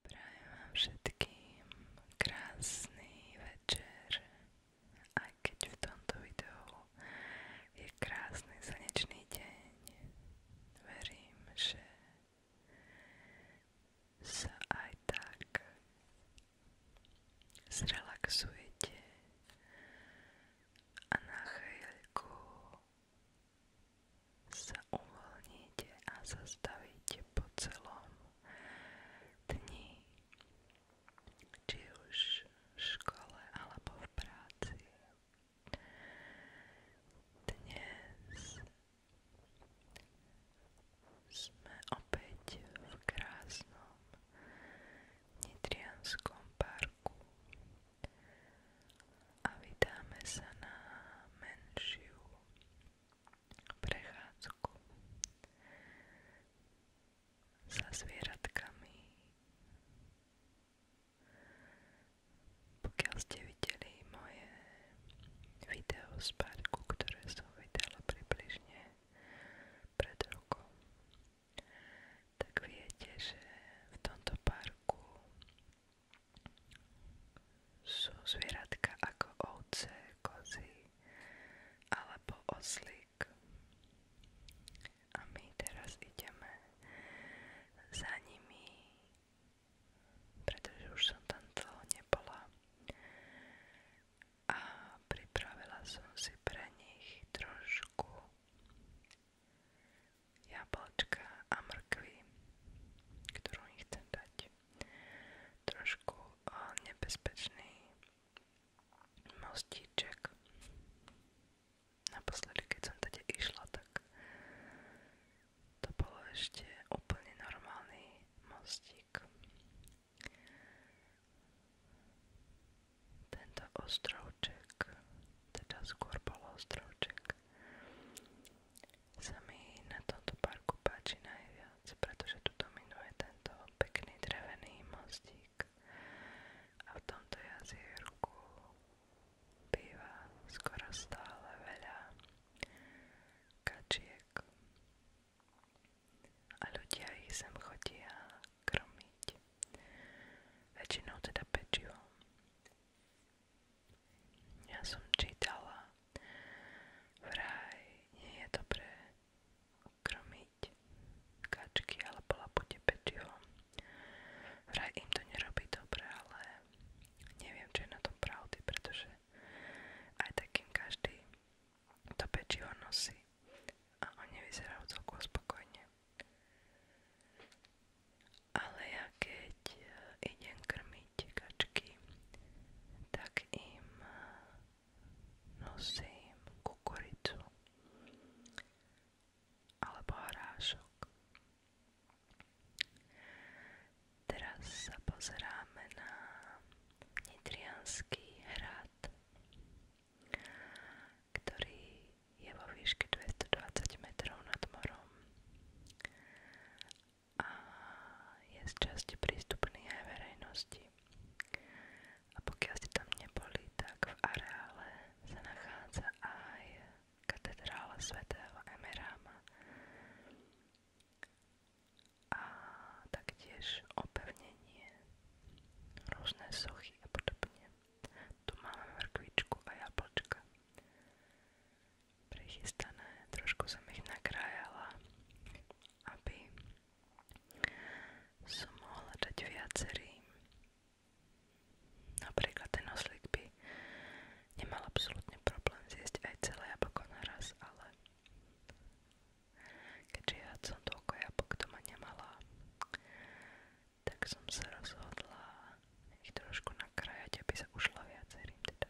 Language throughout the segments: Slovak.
Prajem vám všetkým krásny večer, aj keď v tomto videu je krásny slnečný deň. Verím, že sa aj tak zrelaxujete a na chvíľku sa uvoľníte a zastavíte po celom dni, či už v škole alebo v práci. Dnes sme opäť v krásnom Nitrianskom parku a vydáme sa na menšiu prechádzku sa zvieratkami. Pokiaľ ste videli moje video z parku, ktoré som vydala približne pred rokom, tak viete, že v tomto parku sú zvieratka ako ovce, kozy alebo oslík. A my teraz ideme za nimi, pretože už som tam dlho nebola. A pripravila som si pre nich trošku jablčka a mrkvy, ktorú nechcem dať. Trošku nebezpečný mostíček. Naposledy, keď som tady išla, tak to bolo ešte úplne normálny mostík. Tento ostrovček, teda skôr bol ostrovček, sa mi na tomto parku páči najviac, pretože tu dominuje tento pekný drevený mostík a v tomto jazierku býva skoro stále veľa kačiek a ľudia ich sem chodia kromiť. Väčšinou teda pečivom. Ja som čítala, vraj nie je dobré krmiť kačky alebo lapute pečivom. Vraj im to nerobí dobre, ale neviem, čo je na tom pravdy, pretože aj takým každý to pečivo nosí a oni vyzerajú celkom spokojne. Ale ja keď eh, idem krmiť kačky, tak im eh, nosím kukuricu alebo hrášok. Teraz sa pozeráme na Nitrianský hrad, ktorý je vo 220 metrov nad morom a je z časti prístupný aj A pokiaľ ste tam neboli, tak v areále sa nachádza aj katedrála svätého Emeráma a taktiež opevnenie, rôzne sochy a podobne. Tu máme mrkvičku a jablčka. Prichystané, trošku som ich nakrájala, aby som mohla dať viacerým. Napríklad ten oslík by nemal absolútne problém zjesť aj celé jablko naraz, ale keďže ja som toľko jablk doma nemala, tak som sa rozhodla ich trošku nakrájať, aby sa ušla viacerým teda.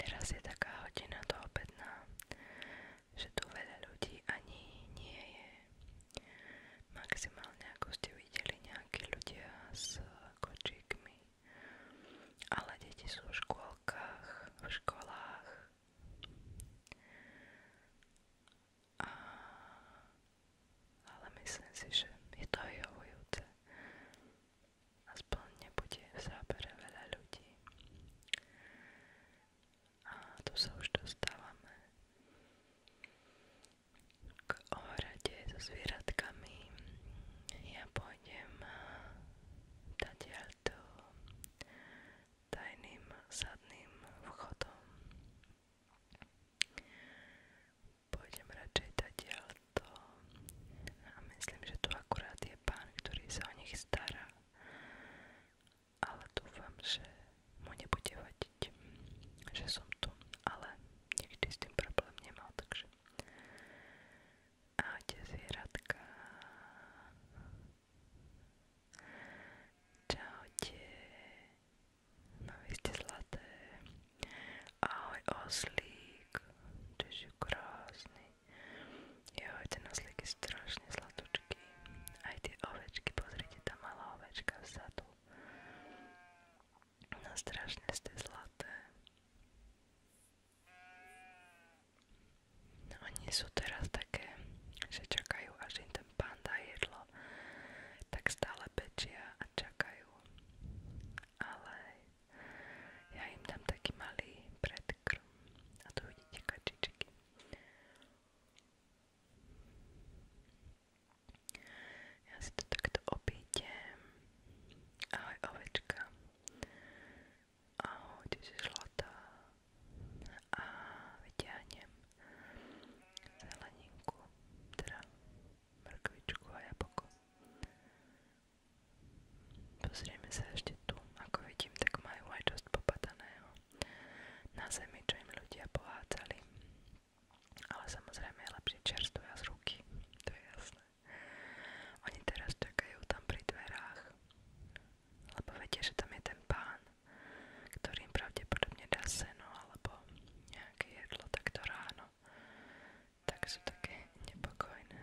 Teraz je taká hodina do obedná, že tu veľa ľudí ani nie je. Maximálne, ako ste videli, nejakí ľudia s kočíkmi. Ale deti sú v škôlkach, v školách, a... Ale myslím si, že je to vyhovujúce. Aspoň nebude v zábere veľa ľudí. A tu sa už dostávame k ohrade so zvieratkami. Ja pôjdem tadiaľto eh, tajným zadným vchodom. Pôjdem radšej tadiaľ to a myslím, že tu akurát je pán, ktorý sa o nich stará, ale dúfam, že mu nebude vadiť, že som tu, ale nikdy s tým problém nemal, takže... Ahojte zvieratka. Čaute. No vy ste zlaté. Ahoj oslík. Ty si krásny. Joj, ten oslík je strašne zlatočký. Aj tie ovečky, pozrite, tá malá ovečka vzadu. No strašne ste zlaté. Oni no sú teraz také, že čakajú, až im ten pán dá jedlo, tak stále pečia a čakajú. Ale ja im dám taký malý predkrm a tu vidíte kačičky. Ja si to takto obídem. Ahoj ovečka ahojte si zlatá a vyťahnem zeleninku, teda mrkvičku a jablko. Pozrieme sa ešte tu, ako vidím, tak majú aj časť popadaného na zemi, čo im ľudia pohádzali. Ale samozrejme je lepšie čerstvé z ruky, to je jasné. Oni teraz čakajú tam pri dverách, lebo vedia, že tam je ten pán, ktorý im pravdepodobne dá seno alebo nejaké jedlo takto ráno, tak sú také nepokojné.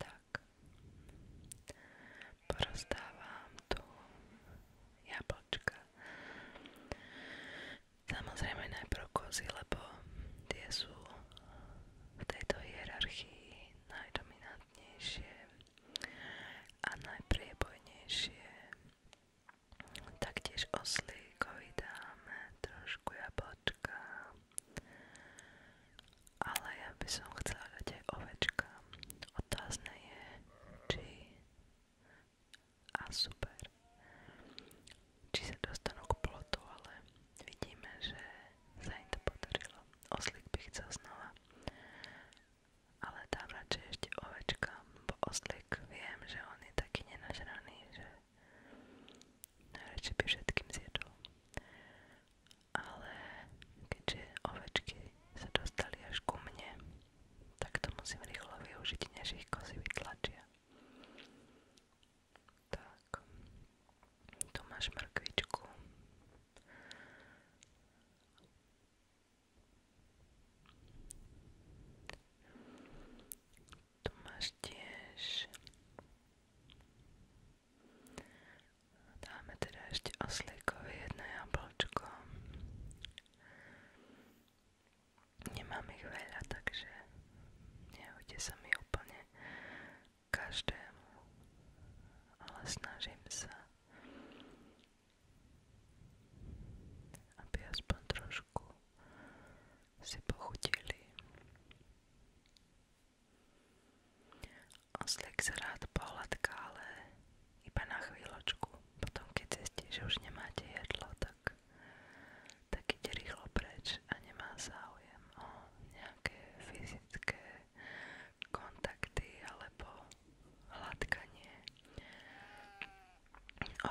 Tak, porozdávam tu jablčka. Samozrejme najprv kozy, lebo tie sú v tejto hierarchii najdominantnejšie a najpriebojnejšie. Taktiež oslíkovi dáme trošku jablčka, ale ja by som chcela dať aj ovečka. Otázne je, či a super. Či sa dostanú k plotu, ale vidíme, že sa im to podarilo. Oslík by chcel znova. Ale dám radšej ešte ovečka, bo oslík viem, že on je taký nenažraný, že najradšej by všetkým zjedol. Ale keďže ovečky sa dostali až ku mne, tak to musím rýchlo využiť, než ich kozy vytlačia. Tak, tu máš mrkvičku. Tu máš tiež. Dáme teda ešte oslíkovi jedno jablčko. Nemám ich takže nehodí sa mi každému, ale snažím sa, aby aspoň trošku si pochutili. Oslík sa rád pohľadká, ale iba na chvíľočku. Potom, keď zistí, že už nemáte jedlo, tak tak, tak ide rýchlo preč a nemá záujem o nejaké fyzické kontakty alebo hladkanie.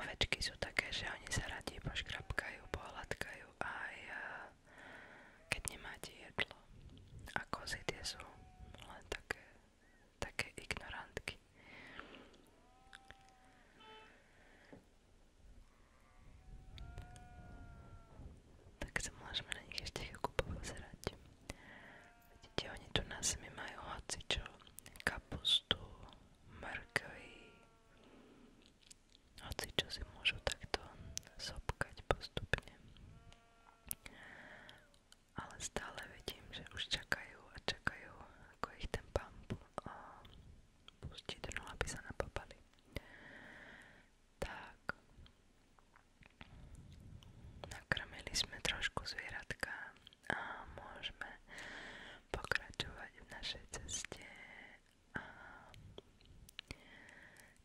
Ovečky sú také, že oni sa radi poškrapkajú, pohladkajú aj eh, keď nemáte jedlo. A kozy tie sú len také, také ignorantky myšlienky. Tak sa môžeme na nich ešte chvíľku popozerať. Vidíte, oni tu na zemi majú hocičo, kapustu, mrkvy, hocičo si môžu takto sopkať postupne. Ale stále vidím, že už čakajú a čakajú, ako ich ten pamp pustiť, no aby sa napapali. Tak. Nakrmili sme trošku zvieratka a môžeme pokračovať v našej ceste. A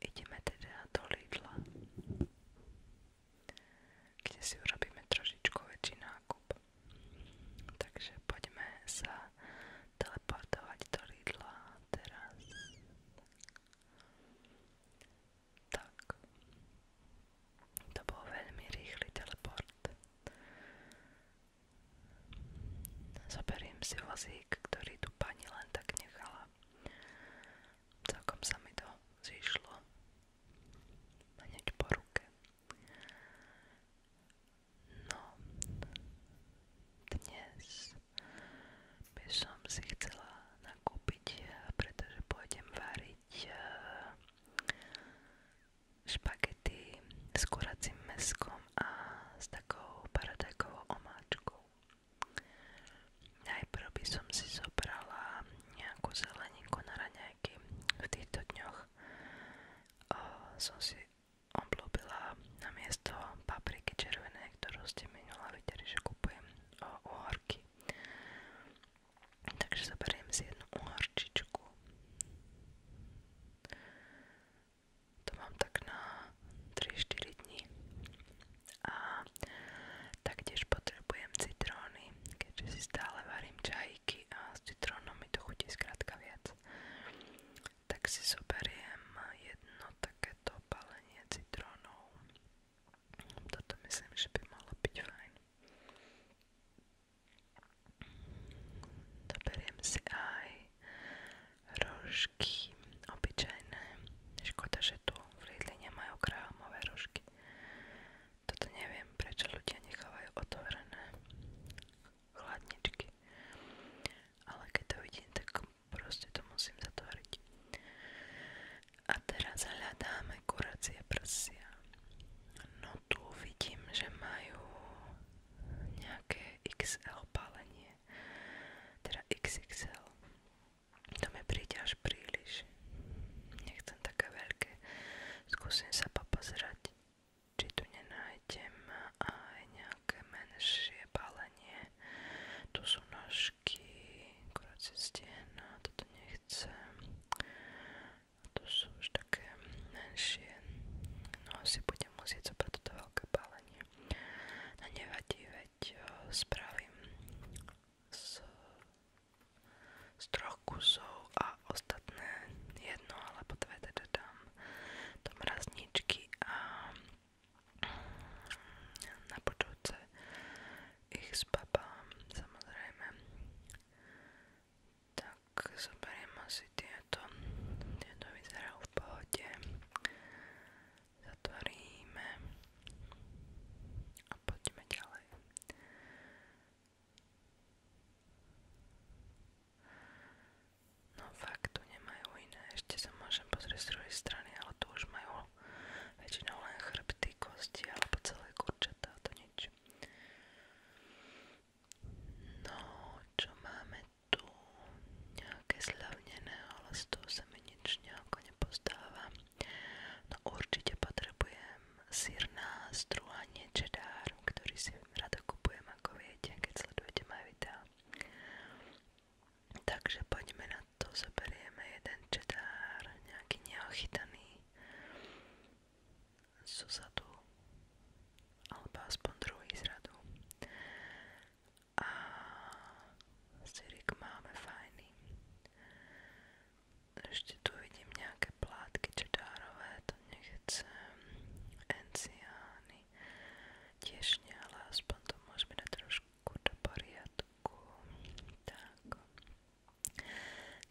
ideme teda do Lidla, kde si urobíme trošičku väčší nákup. Takže poďme sa teleportovať do Lidla teraz. Tak. To bol veľmi rýchly teleport. Zoberiem si vozík, ktorý tu pani len tak nechala. Celkom sa mi to zišlo. Hneď po ruke. No, dnes by si chcela nakúpiť, pretože pôjdem variť eh, špagety s kuracím meskom a s takou paradajkovou omáčkou. Najprv by som si zobrala nejakú zeleninku na raňajky. V týchto dňoch rokoch uh, si obľúbila na miesto papriky červenej, ktorú ste minula videli, kupujem Takže zoberiem si jednu uhorčičku. To mám tak na 3-4 dní. A taktiež potrebujem citróny, keďže si stále varím čajky a s citrónom mi to chutí skrátka viac. Tak si zoberiem jedno takéto balenie citrónov. Toto myslím, že by malo byť fajn. Doberiem si aj rožky obyčajné. Škoda, že tu v Lidli nemajú krámové rožky. Toto neviem, prečo ľudia nechávajú otvorené chladničky. Ale keď to vidím, tak proste to musím zatvoriť. A teraz hľadáme kuracie prsia. No tu vidím, že majú nejaké XL palenie. Teda XXL. To mi príde až príliš. Nechcem také veľké. Skúsim sa popozerať či tu nenájdem aj nejaké menšie balenie. Tu sú nožky, kroci stiena, toto nechcem. A tu sú už také menšie. No asi budem musieť zobrať toto veľké balenie. No nevadí, veď spravím z z troch kusov a ostatné jedno alebo dve teda dám do mrazničky a na budúce ich zbabám samozrejme tak zoberiem asi tieto tieto vyzerajú v pohode zatvoríme a poďme ďalej No fakt, tu nemajú iné, ešte sa môžem pozrieť z druhej strany, ale tu už majú väčšinou len chrbty, kosti alebo celé kurčatá, to nič. No, čo máme tu? Nejaké slavnené, ale z toho sa mi nič nejako nepostáva. No určite potrebujem sírna strúhanie cheddar, ktorý si rada kupujem, ako viete, keď sledujete moje videá. Takže poďme na to, zoberieme jeden čedár, nejaký neochytaný zozadu, alebo aspoň druhý zradu. A syrik máme fajný. Ešte tu vidím nejaké plátky čedárové, to nechcem. Enciány tiež nie, ale aspoň to môžeme dať trošku do poriadku. Tak.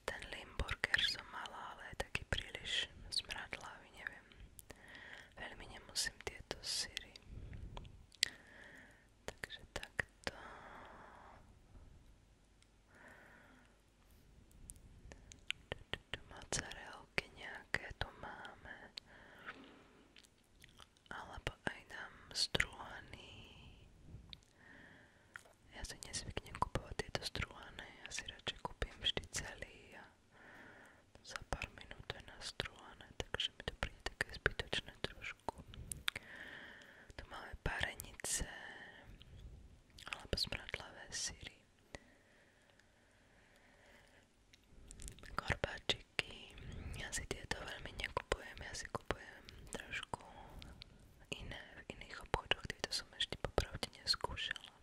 Ten Limburger som mala, ale je taký príliš zmradlavý, neviem. Veľmi nemusím tieto syry. Takže takto mozzarelky nejaké tu máme alebo aj nám strúhaný ja si nezvyknem kupovať tieto strúhané ja si radšej kúpim vždy celý a za pár minút je nastrúhané takže mi to príde také zbytočné trošku tu máme parenice alebo smradlavé syry, korbačiky. Ja si tieto veľmi nekupujem, ja si kupujem trošku iné v iných obchodoch, tieto som ešte popravde neskúšala,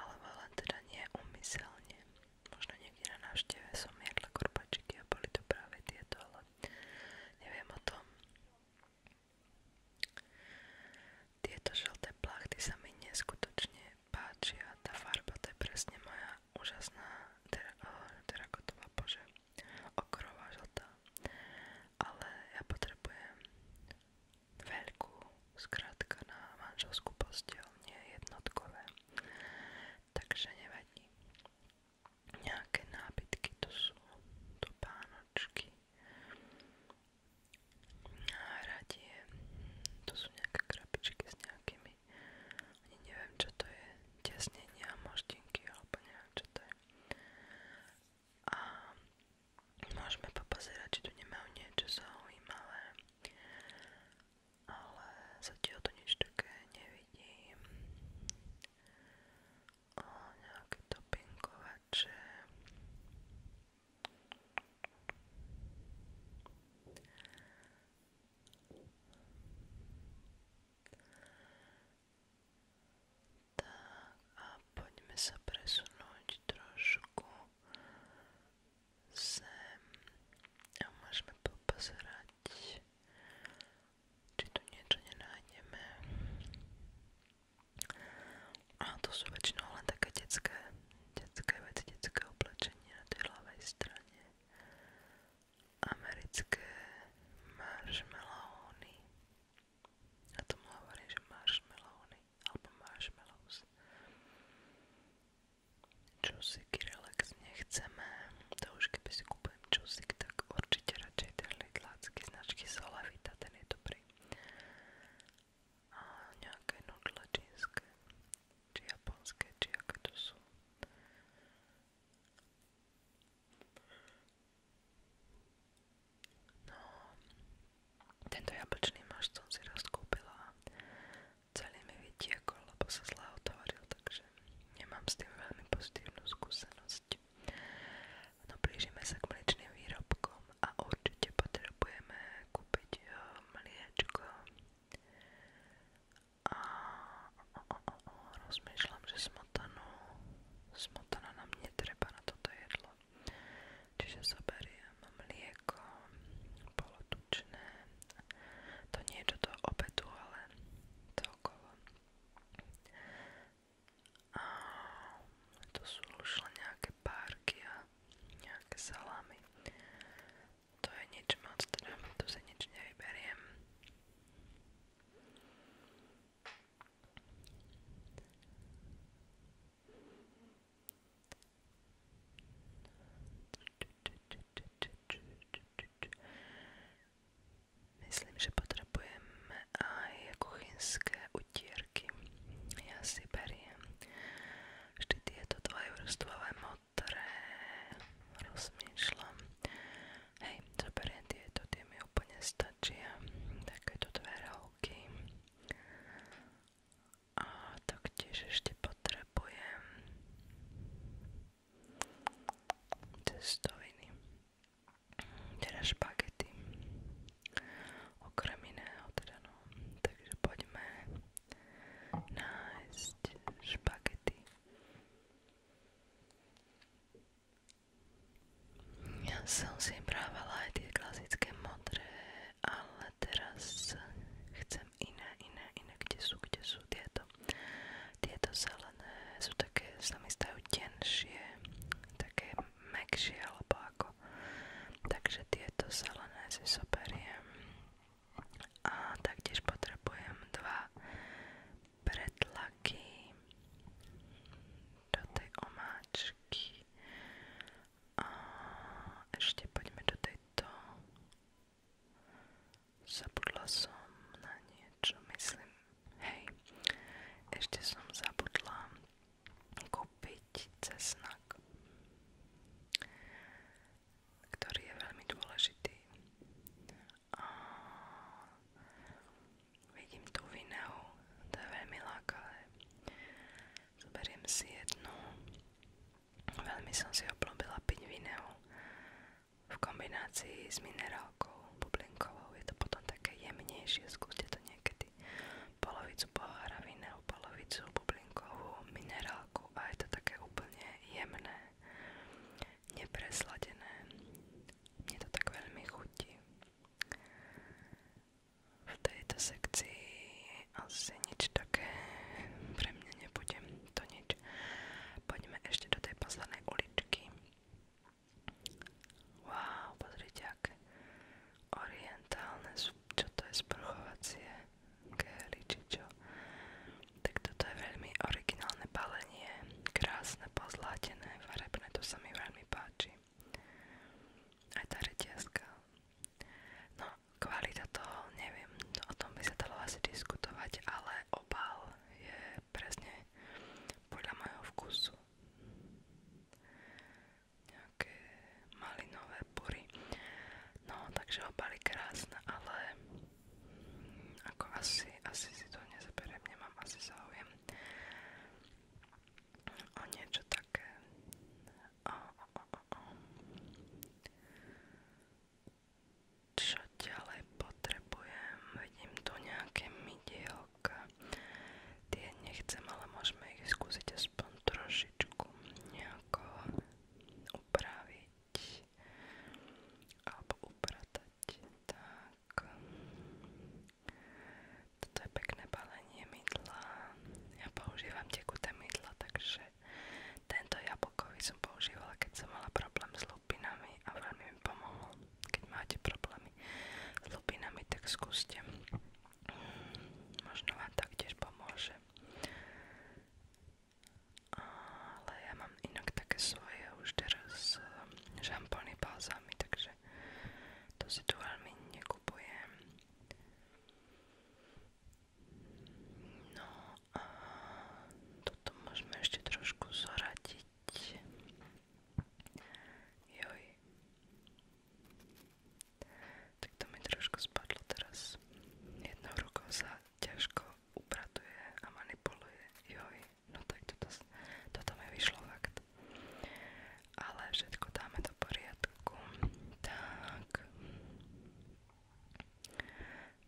alebo len teda nie umyselne. Možno niekde na návšteve som jedla korbačiky a boli to práve tieto, ale neviem o tom. Tieto žlté plachty sa mi neskutočne páčia, tá farba to je presne moja úžasná ter eh, terakotová bože, okrová žltá, ale ja potrebujem veľkú, skrátka na manželskú postiel, nie jednotkové, takže nevadí nejaké nábytky, to sú topánočky, náradie, to sú nejaké krabičky s nejakými, ani neviem čo to je, tesnenia, moždinky alebo neviem čo to je. A môžeme popozerať, či tu nemajú niečo zaujímavé, ale zatiaľ to nič také nevidím o nejaké dopinkovače tak a poďme sa presunúť trošku sem a môžeme popozerať či tu niečo A to sú väčšinou také detské, detské veci, na tej ľavej Americké marshmallowny. Na tom hovorím, že marshmallowny, marshmallows. Čusíky relax nechceme, to už keby si kúpujem čusík, tak určite radšej ten lidlácky značky Solavita, ten je dobrý. A nejaké nudle čínske, či japonské, či aké to sú. No, tento jablčný mašt som si raz kúpila a celý mi vytiekol, lebo sa zle otvoril, takže nemám s tým veľmi pozitívnu skúsenosť. No blížime sa k mliečným výrobkom a určite potrebujeme kúpiť eh, mliečko. A o, o, o, o, rozmýšľam, že smotanu, smotana nám netreba na toto jedlo. Čiže zoberiem mlieko, polotučné, to nie je do toho obedu, ale to okolo. A to sú už len nejaké párky a nejaké salámy. To je nič moc, teda tu si nič nevyberiem. Myslím, že potrebujeme aj kuchynské utierky. Ja si beriem vždy tieto dvojvrstvové modré. Rozmýšľam. Hej, čo beriem tieto, tie mi úplne stačia. Takéto dve roky. A taktiež ešte potrebujem cestoviny teda špagety. Okrem iného teda no. Takže poďme nájsť špagety. Ja som si brávala aj tie klasické modré, ale teraz chcem iné, iné, iné, kde sú, kde sú tieto. Tieto zelené sú také, sa mi stajú tenšie, také mekšie Takže tieto zelené si zoberiem. A taktiež potrebujem dva pretlaky do tej omáčky. A ešte poďme do tejto. Zabudla som na niečo, myslím. Hej, ešte som zabudla kúpiť cesnak, ktorý je veľmi dôležitý. A vidím tú vineu, to je veľmi lákavé. Zoberiem si jednu, veľmi som si oblúbila piť vineu v kombinácii s minerálkou bublinkovou je to potom také jemnejšie, skúste to niekedy polovicu pohára vína, polovicu bublinkovú minerálku a je to také úplne jemné, nepresladené. Mne to tak veľmi chutí. V tejto sekcii asi nič také pre mňa nebude to nič. Poďme ešte do tej poslednej uličky. Wow, pozrite aké orientálne, čo to je sprchovacie gely či čo. Tak toto je veľmi originálne balenie, krásne pozlátené, farebné, to sa mi veľmi páči. Aj tá reťazka. No, kvalita toho, neviem, o tom by sa dalo asi diskutovať, ale obal je presne podľa môjho vkusu nejaké malinové pory. No, takže obaly krásne, ale ako asi, asi si to nezaberiem, nemám asi záujem o niečo také. O, o, o, o čo ďalej potrebujem. Vidím tu nejaké mydielka. Tie nechcem, ale môžeme ich aspoň trošičku nejako upraviť alebo upratať. Tak. Toto je pekné balenie mydla. Ja používam tekuté mydla, takže tento jablkový som používala, keď som mala problém s lupinami a veľmi keď máte problémy s lupinami, tak skúste. Možno vám taktiež pomôže. Ale ja mám inak také svoje už teraz žampóny eh, balzámy, takže to si tu veľmi nekupujem. No a toto môžeme ešte trošku zoradiť. Joj. Tak to mi trošku spadlo teraz. Jednou rukou sa ťažko upratuje a manipuluje. Joj. No tak toto, toto mi vyšlo fakt. Ale všetko dáme do poriadku. Tak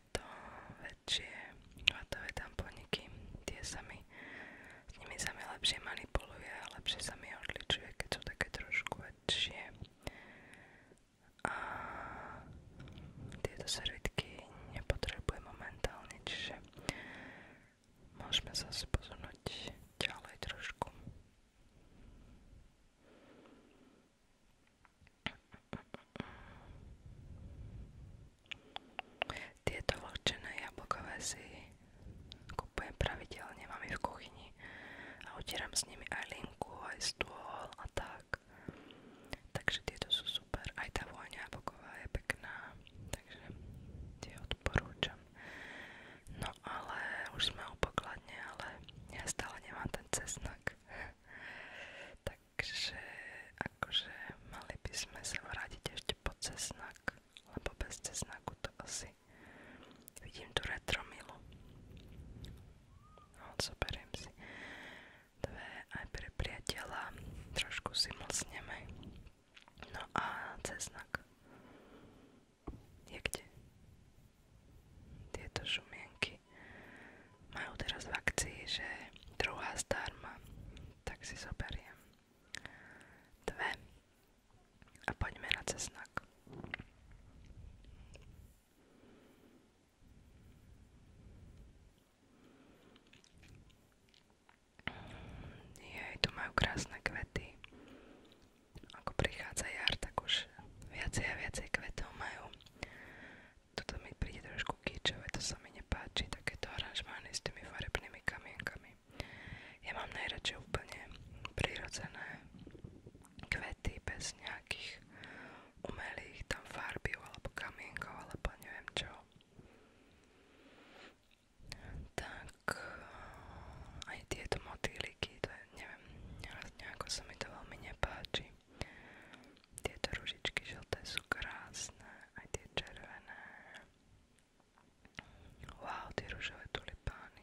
tieto väčšie vatové tamponiky, tie sa mi, s nimi sa mi lepšie manipuluje a lepšie sa mi odličuje, keď sú také trošku väčšie. A tieto servitky nepotrebujem momentálne, čiže môžeme zase posunúť ďalej trošku. Tieto vlhčené jablkové si kupujem pravidelne, mám ich v kuchyni a utieram s nimi aj linku, aj stôl a tak. Takže tieto sú super, aj tá vôňa jablková je pekná, takže tie odporúčam. No ale už sme u pokladne, ale ja stále nemám ten cesnak. Takže akože mali by sme sa vrátiť ešte po cesnak, lebo bez cesnaku to asi vidím tu retromilu. No, zoberiem si dve aj pre priateľa, trošku si mlsneme. No a cesnak je kde? tieto šumienky majú teraz v akcii, že druhá zdarma, tak si zoberiem dve a poďme na cesnak. Jej, tu majú krásne kvety. Ako prichádza jar, tak už viacej a viacej kvetov majú. Toto mi príde trošku kýčové, to sa mi nepáči, takéto aranžmány s tými farebnými kamienkami. Ja mám najradšej úplne prirodzené kvety bez nejakých umelých tam farby alebo kamienkov alebo neviem čo. Tak aj tieto motýliky, to je, nejako sa mi to veľmi nepáči. Tieto ružičky žlté sú krásne, aj tie červené. Wow, tie ružové tulipány.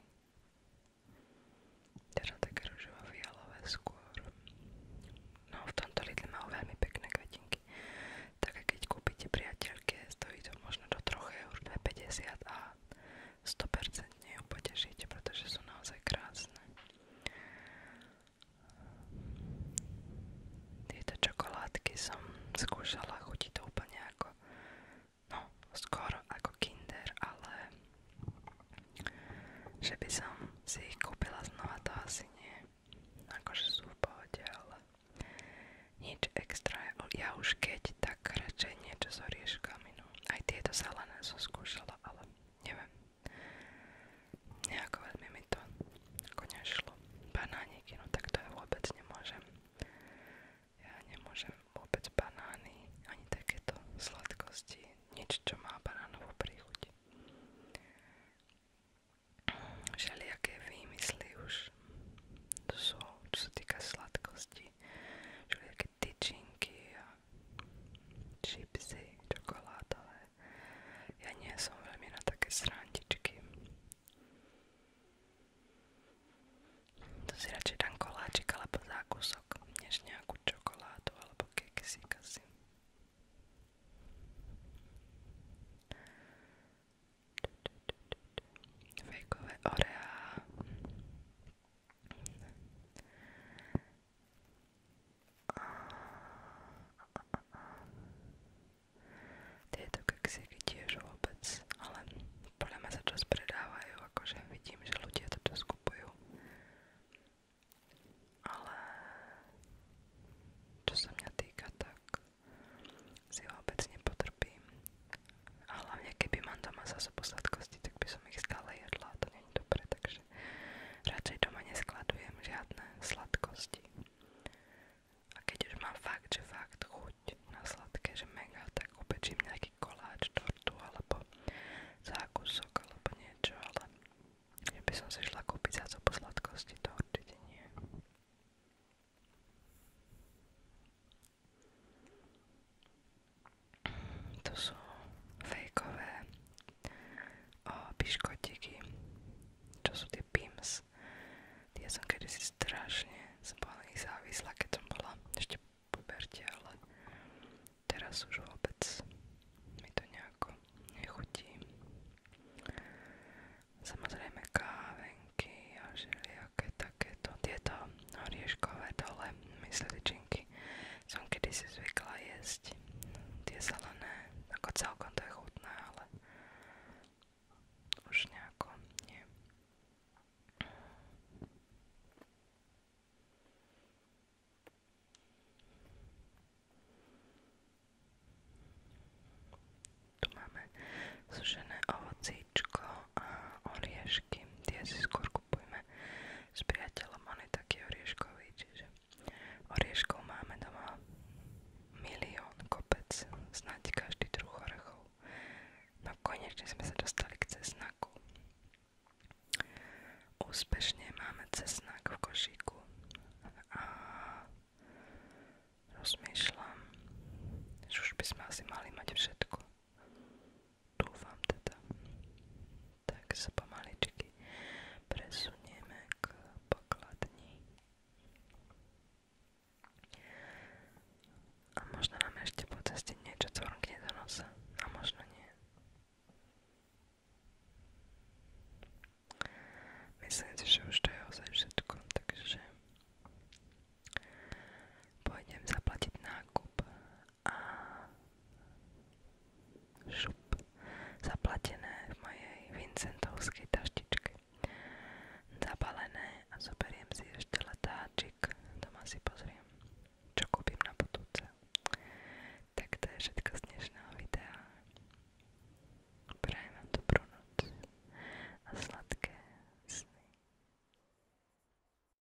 Teda také ružovo-fialové skôr. No, v tomto Lidle majú veľmi pekné kvetinky. Také keď kúpite priateľke, stojí to možno do troch eur, 2,50 a 100% ju potešíte, pretože sú naozaj krásne. Tieto čokoládky som skúšala, chutí to úplne no, skoro ako kinder, ale že by som si ich kúpila znova, asi nie. Akože sú v pohode, nič extra. už keď, tak radšej niečo s orieškami, no. Aj tieto zelené som skúšala, ale neviem nejako veľmi mi to ako nešlo. Banániky, no tak to ja vôbec nemôžem. Ja nemôžem vôbec banány, ani takéto sladkosti, nič, čo má banánovú príchuť. Všelijaké výmysly už sú, čo sa týka sladkosti, všelijaké tyčinky a čipsy čokoládové. Ja nie som veľmi na také srandičky. To si radšej dám koláčik alebo zákusok, než nejakú čokoládu alebo keksík asi. Fejkové oreá. Tieto keksiky tiež vôbec, ale podľa mňa sa čas predávajú, akože vidím, že ľudia to čas kupujú. Ale čo sa mňa týka, tak si vôbec nepotrpím. A hlavne keby mám doma zase po sladkosti, tak by som ich stále jedla, to nie deň, dobre, takže radšej doma neskladujem žiadne sladkosti. A keď už mám fakt, že fakt chuť na sladké, že mega, tak upečím nejaký koláč, tortu alebo zákusok alebo niečo, ale že by som si šla kúpiť za to po sladkosti, to určite nie. To sú fejkové piškotiky, čo sú tie Pims. Tie som kedysi strašne, som bola na nich závislá, keď som ale teraz už vôbec mi to nejako nechutí. Samozrejme kávenky a všelijaké takéto, tieto orieškové dole mysličinky chutí. Som kedysi zvykla jesť zelené, ako celkom chutné, ale už nejako Tu máme sušené ovocíčko a oriešky, tie si skôr kupujeme s priateľom, on je taký orieškový, čiže máme doma milión kopec, snáď každý druh orechov. No konečne sme sa dostali k cesnaku. Úspešne máme cesnak v košíku a rozmýšľam, že už by sme asi mali mať všetko. Dúfam teda. Tak sa pomaličky presunieme k pokladni. A možno nám ešte po ceste niečo cvrkne do nosa. A možno nie. Myslím si, že už to je ozaj všetko, takže pôjdem zaplatiť nákup a šup zaplatené v mojej Vincentovskej taštičke zabalené a zoberiem si ešte letáčik doma si pozriem čo kúpim na budúce tak to je všetko z dnešného videa prajem vám dobrú noc a sladké sny